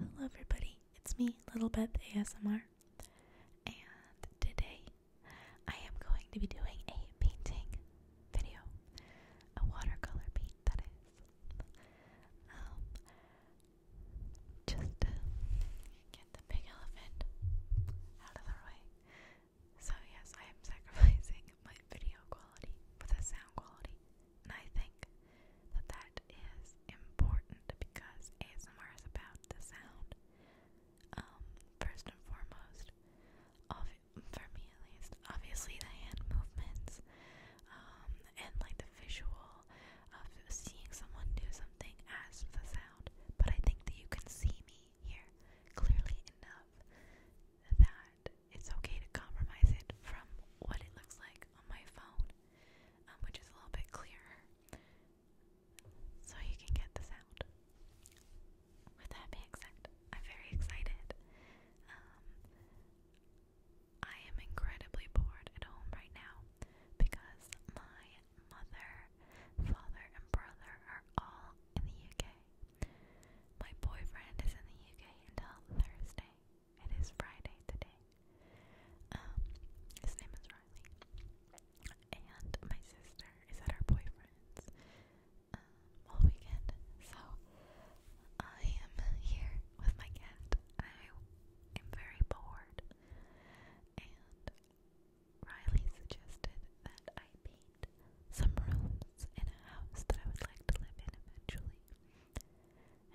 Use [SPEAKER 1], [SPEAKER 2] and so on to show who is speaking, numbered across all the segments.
[SPEAKER 1] Hello, everybody. It's me, Little Beth ASMR, and today I am going to be doing a painting video, a watercolor paint, that is. Um, just get the big elephant out of the way. So, yes, I am sacrificing my video quality for the sound quality, and I think that that is important because ASMR is about the sound. Um, first and foremost, for me at least, obviously the hand movements, um, and like the visual of seeing someone do something as the sound, but I think that you can see me here clearly enough that it's okay to compromise it from what it looks like on my phone, um, which is a little bit clearer, so you can get the sound. With that being said, I'm very excited. Um, I am incredibly bored at home right now because my mother, father, and brother are all in the UK. My boyfriend is in the UK until Thursday. It is Friday today. Um, his name is Riley. And my sister is at her boyfriend's um, all weekend. So I am here with my cat. I am very bored. And Riley suggested that I spray paint some rooms in a house that I would like to live in eventually.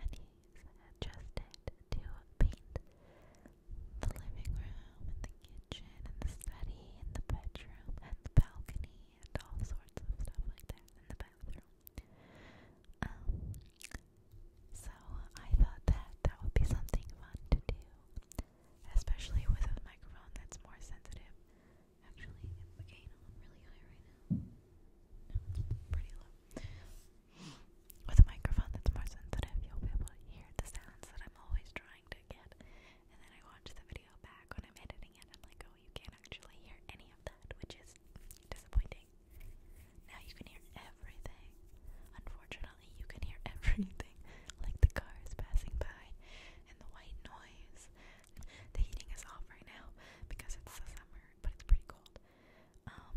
[SPEAKER 1] And he's adjusted to paint the living room and the kitchen and the study and the bedroom and the balcony and all sorts of stuff like that in the bathroom. Um, so I thought that that would be something fun to do, especially with a microphone that's more sensitive Actually, it became really high right now. pretty low. With a microphone that's more sensitive, you'll be able to hear the sounds that I'm always trying to get. And then I watch the video back when I'm editing it. I'm like, oh, you can't actually hear any of that, which is disappointing. Now you can hear everything. Unfortunately, you can hear everything, like the cars passing by and the white noise the heating is off right now because it's the summer, but it's pretty cold. Um,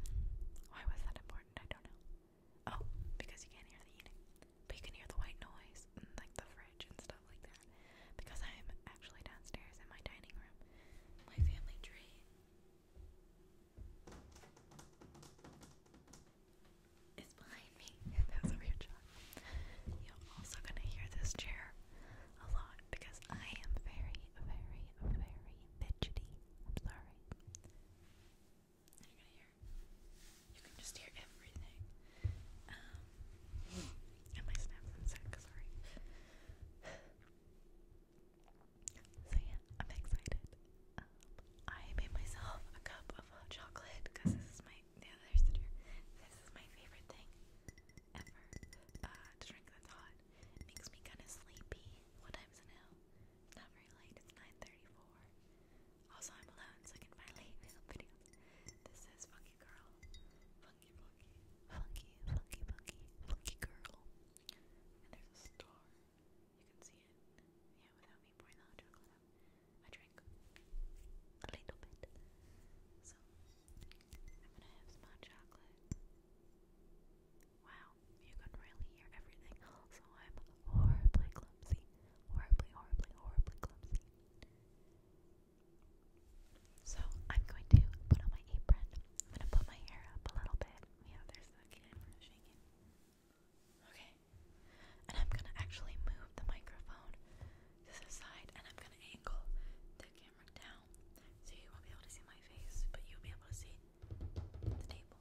[SPEAKER 1] why was that important? I don't know. Oh, because you can't hear the heating, but you can hear the white noise, and, like the fridge and stuff like that. Because I am actually downstairs in my dining room, my family tree. It's behind me. that was a weird shot. You're also going to hear this chair a lot because I am very, very, very fidgety. I'm sorry. You're going to hear. You can just hear everything. Um, and my snaps and sorry. So yeah, I'm excited. Um, I made myself a cup of chocolate because this is my my yeah, there's the drink. This is my favorite thing ever. Uh, to drink that's hot. makes me kind of sleepy. What time is it It's not very late. It's 9:34. Also, I'm alone, so I can finally make videos. This is Funky Girl, Funky Funky, Funky Funky Funky Funky Girl. And there's a star. You can see it. Yeah, without me pouring the hot chocolate out. I drink a little bit. So I'm gonna have some chocolate. Wow, you can really hear everything. Also, I'm horribly clumsy. Horribly, horribly, horribly clumsy. So, I'm going to put on my apron. I'm gonna put my hair up a little bit. Okay. And I'm gonna actually move the microphone to the side and I'm gonna angle the camera down so you won't be able to see my face, but you'll be able to see the table.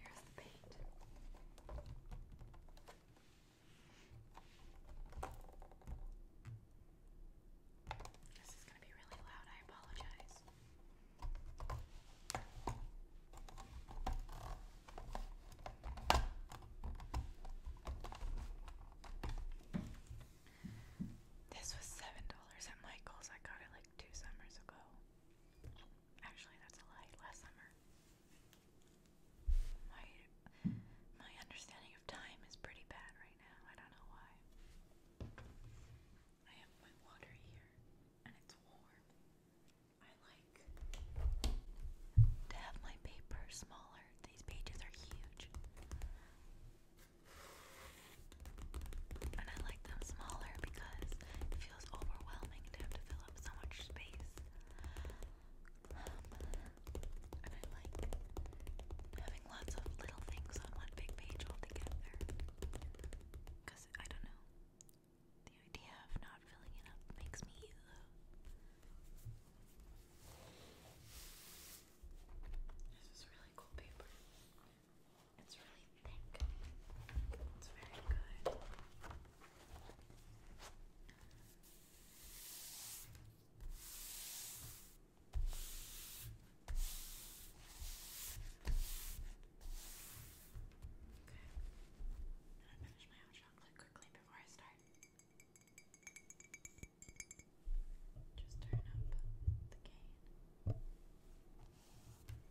[SPEAKER 1] Here's the paint. This is going to be really loud. I apologize. This was $7 at Michael's. I got it like two summers ago. Actually, that's a lie. Last summer. My my understanding of time is pretty bad right now. I don't know why. I have my water here, and it's warm. I like to have my paper smaller. These pages are huge. And I like them smaller because it feels overwhelming to have to fill up so much space. Um, and I like having lots of little things on one big page all together. Because, I don't know, the idea of not filling it up makes me. Uh, this is really cool paper. It's really thick. It's very good. Okay. I'm gonna finish my own chocolate quickly before I start. Just turn up the gain.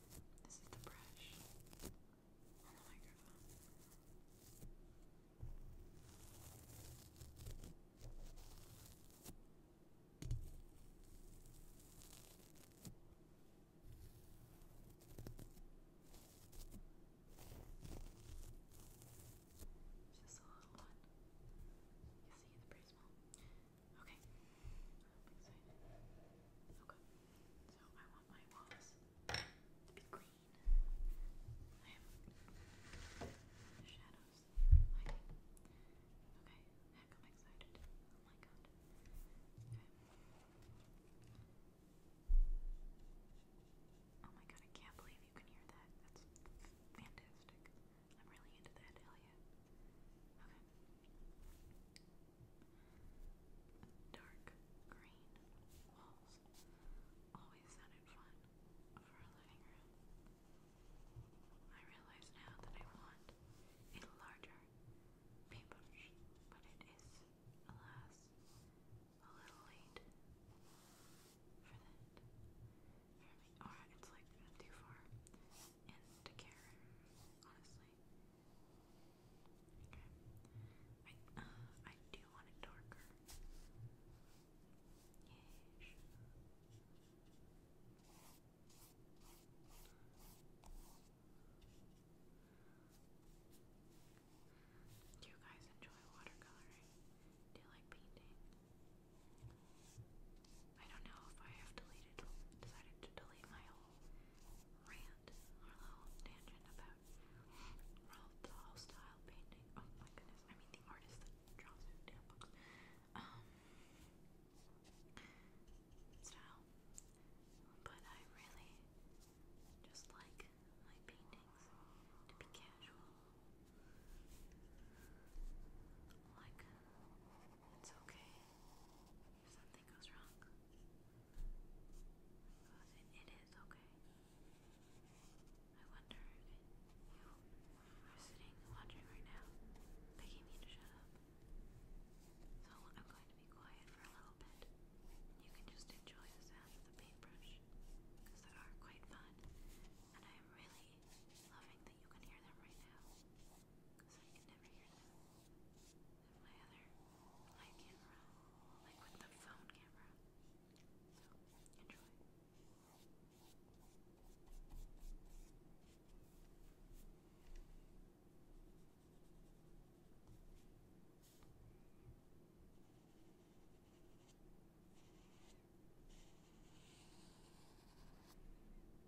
[SPEAKER 1] This is the brush on the microphone. Just a little one. You see the prism. Okay. So I want my walls to be green. I have shadows. Lighting. Okay. Heck, I'm excited. Oh my god. Oh my god, I can't believe you can hear that. That's fantastic. I'm really into that, hell Okay. Dark green walls always sounded fun for a living room. I realize now that I want a larger paintbrush, but it is, alas, a little late for that. For me, or it's like too far in to honestly. Okay. I, uh, I do want it darker. Do you guys enjoy watercoloring? Do you like painting? I don't know if I have deleted, decided to delete my whole rant or little tangent about Ralph style painting. Oh my goodness! I mean the artist that draws his damn um, style, but I really just like my paintings to be casual. Like, it's okay if something goes wrong. it is okay. I wonder if you are sitting watching right now, begging me shut up. So I'm going to be quiet for a little bit. You can just enjoy the sound of the paintbrush, because they are quite fun. And I am really loving that you can hear them right now, because I can never hear them my other light camera, like with the phone camera. So, enjoy. Thank you.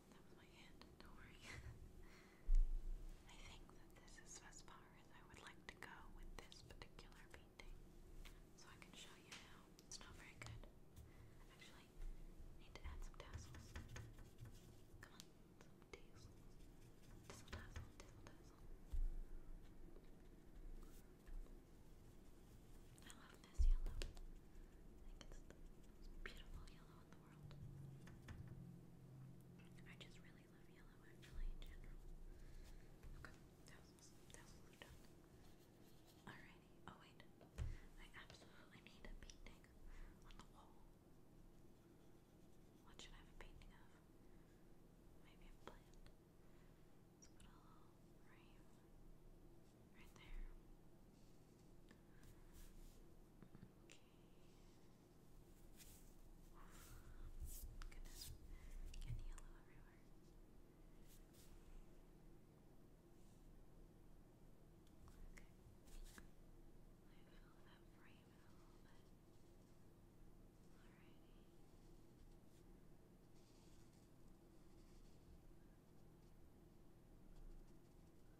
[SPEAKER 1] That was my hand, don't worry. I think that this is as far as I would like to go with this particular painting. So I can show you now. It's not very good. Actually, need to add some tassels. Come on, Tassel, tassel, tassel, tassel. I love this yellow. I think it's the most beautiful yellow in the world. I just really love yellow actually in general. Okay, that was, that was all done. oh wait. I absolutely need a painting on the wall. What should I have a painting of? Maybe a plant. Let's put a little frame right there. Okay. Goodness, getting yellow everywhere. Okay, I fill that frame a little bit. Alrighty.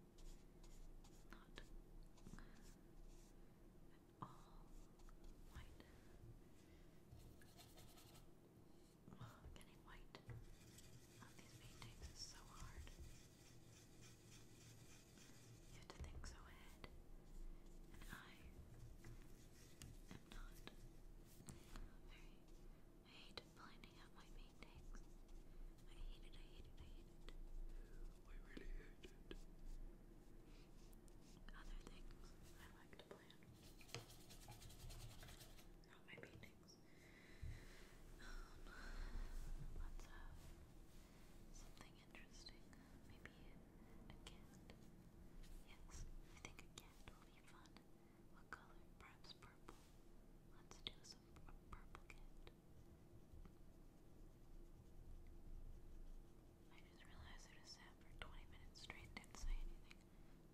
[SPEAKER 1] not all white. getting white on these paintings is so hard. You have to think so ahead, and I am not very. I hate blinding out my paintings. I hate it, I hate it, I hate it. I really hate it. Other things I like to plan. Not my paintings. Um, let's have something interesting. Maybe a cat. Yes, I think a cat will be fun. What color? Perhaps purple. Let's do a purple cat. I just realized I just sat for 20 minutes straight didn't say anything.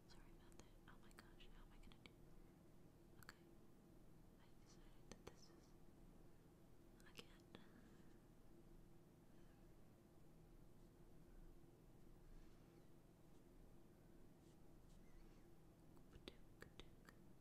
[SPEAKER 1] Sorry about that. Oh my gosh, how am I gonna do Okay. I decided that this is... I can't. Padook, padook.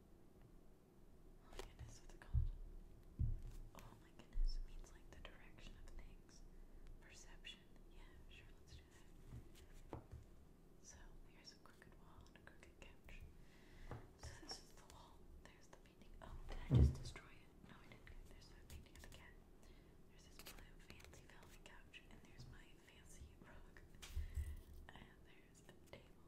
[SPEAKER 1] Oh my goodness, what's it called? Oh my goodness, means like the direction of things. Perception. Yeah, sure, let's do that. So here's a crooked wall and a crooked couch. So this is the wall. There's the painting. Oh, did I just destroy it? No, I didn't. There's the painting of the cat. There's this blue fancy velvet couch, and there's my fancy rug. And there's a table.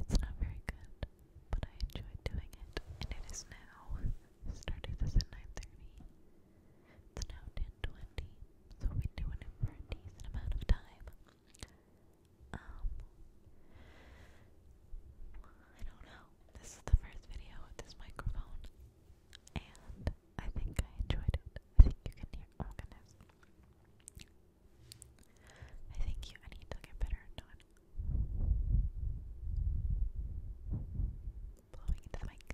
[SPEAKER 1] It's not very good, but I enjoyed doing it, and it is now. Started at 9.30. It's now 10.20, so we've doing it for a decent amount of time. Um, I don't know. This is the first video with this microphone, and I think I enjoyed it. I think you can hear, oh goodness. Thank you I need to get better not blowing into the mic.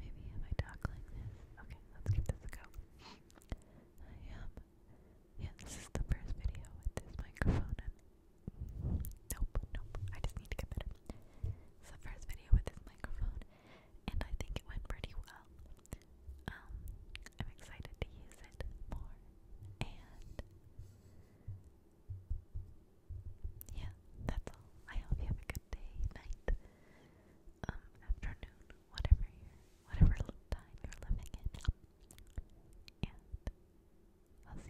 [SPEAKER 1] Maybe if I talk like this. Okay, let's give this a go. I am. yeah, this is the first video with this microphone nope, nope. I just need to get better. It's first video with this microphone and I think it went pretty well. Um, I'm excited to use it more, and yeah, that's all. I hope you have a good day, night, um, afternoon, whatever whatever time you're living in, and I'll see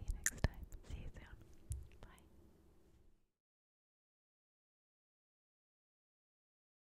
[SPEAKER 1] you next time. See you soon. Bye.